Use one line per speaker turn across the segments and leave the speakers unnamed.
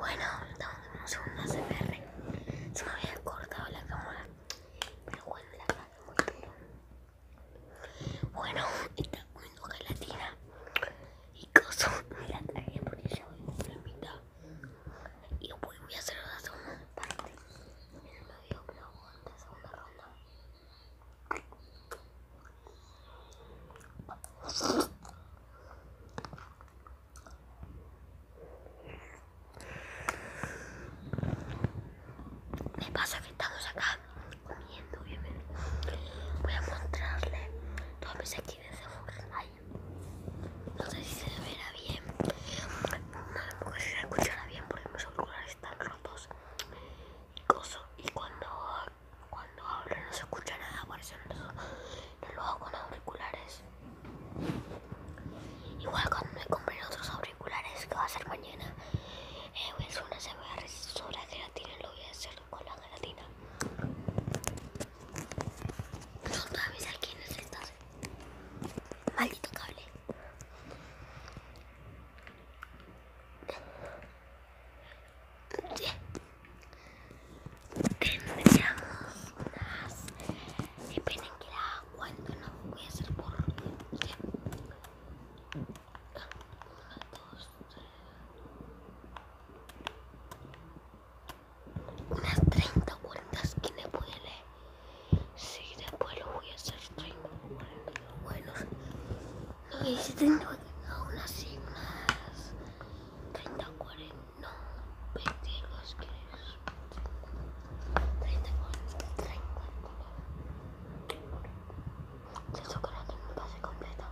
Bueno, estamos en un segundo CPR. Se me había cortado la cámara. Pero bueno, la cámara muy Bueno, está comiendo gelatina. Y coso. Mira, la porque ya voy a Y voy a hacer la segunda parte. En el segunda ronda. Me paso que estamos acá comiendo, bien. Voy a mostrarle todas mis actividades de hay. No sé si se verá bien. No si se escuchará bien porque mis auriculares están rotos. Y, coso, y cuando cuando hablo no se escucha nada, por eso no, lo hago con los auriculares. Igual cuando me compren otros auriculares, que va a ser mañana, eh, voy a hacer una resolver gelatina y lo voy a hacer con la gelatina. son todas avisar quién es estás. Maldito cable tendríamos más esperen que la cuando no voy a hacer por ya. Uno, dos, unas 30 vueltas esquinas le puede leer si sí, después lo voy a hacer 30 vueltas bueno y si aún así más 30, 40, no, 30, 40, 30, 40. Se que me pase completa.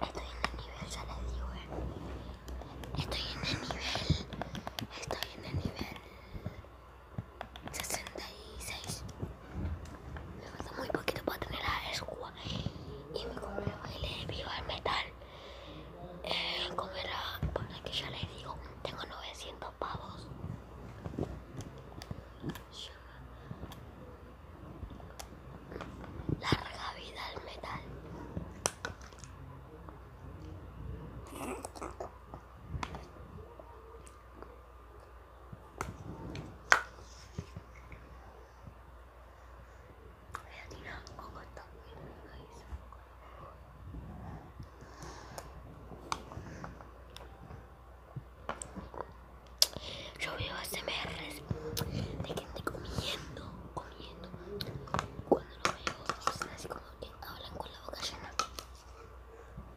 Estoy en el nivel, se les digo, eh. Estoy en el nivel, estoy en el nivel 66. Me falta muy poquito para tener la escua. Y me compré el viva el metal. Eh, la para que ya les digo, tengo 900 pavos. Larga vida al metal. Yo veo ASMRs de gente comiendo, comiendo. Cuando lo veo, es así como que hablan con la boca llena.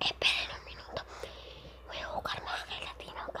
Esperen un minuto. Voy a buscar más gelatina, ok.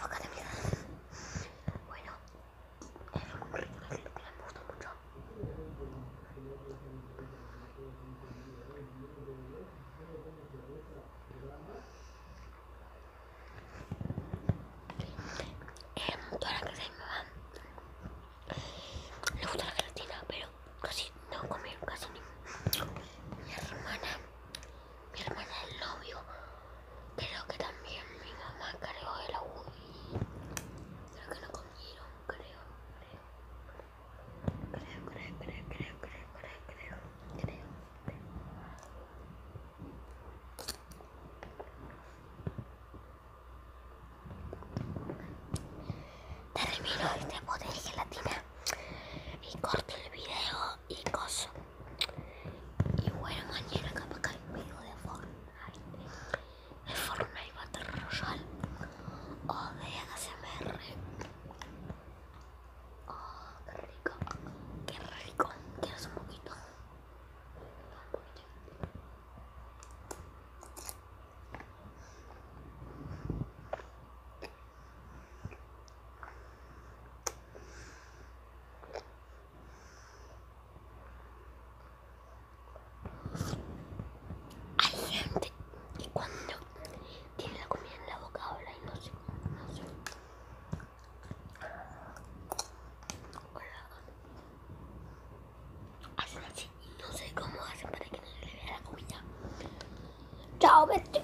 loca de mierda. Bueno, es eh, un ritmo que me gusta mucho. En em, toda la casa de mi mamá eh, le gusta la gelatina, pero casi no comí casi ni mi hermana mi hermana el novio, creo que también mi mamá cargó el agua creo que lo comieron, creo, creo, creo, creo, creo, creo, creo, creo, creo, creo, creo. Termino este poder gelatina y corto el video y cosas. Y bueno, mañana capaz que hay de Fortnite, de Fortnite Battle Royale oh, o de ASMR. Oh, qué rico, que rico, quieres un poquito. Hay gente que cuando tiene la comida en la boca habla y no se... No se... Hacen así y no sé cómo hacen para que no se le vea la comida. Chao, vete.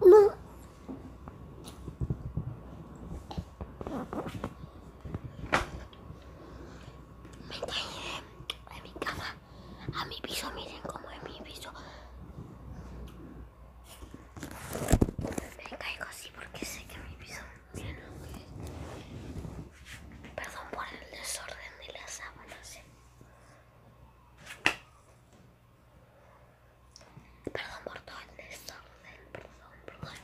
No, me caí en mi cama a mi piso, miren cómo es mi piso. Me caigo así porque sé que mi piso, miren. Perdón por el desorden de las sábanas. Eh. Perdón por todo el desorden, perdón, perdón,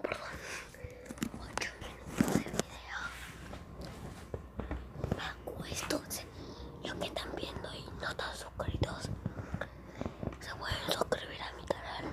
perdón. 8 minutos de video. Me los que están viendo y no están suscritos, se pueden suscribir a mi canal.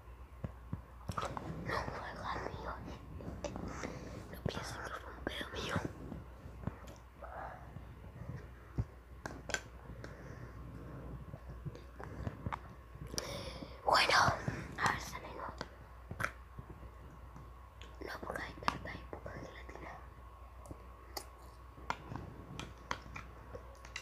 No fue algo mío. No pienso que fue un pedo mío. Bueno, a ver, sale No, porque hay tarta y poco de gelatina.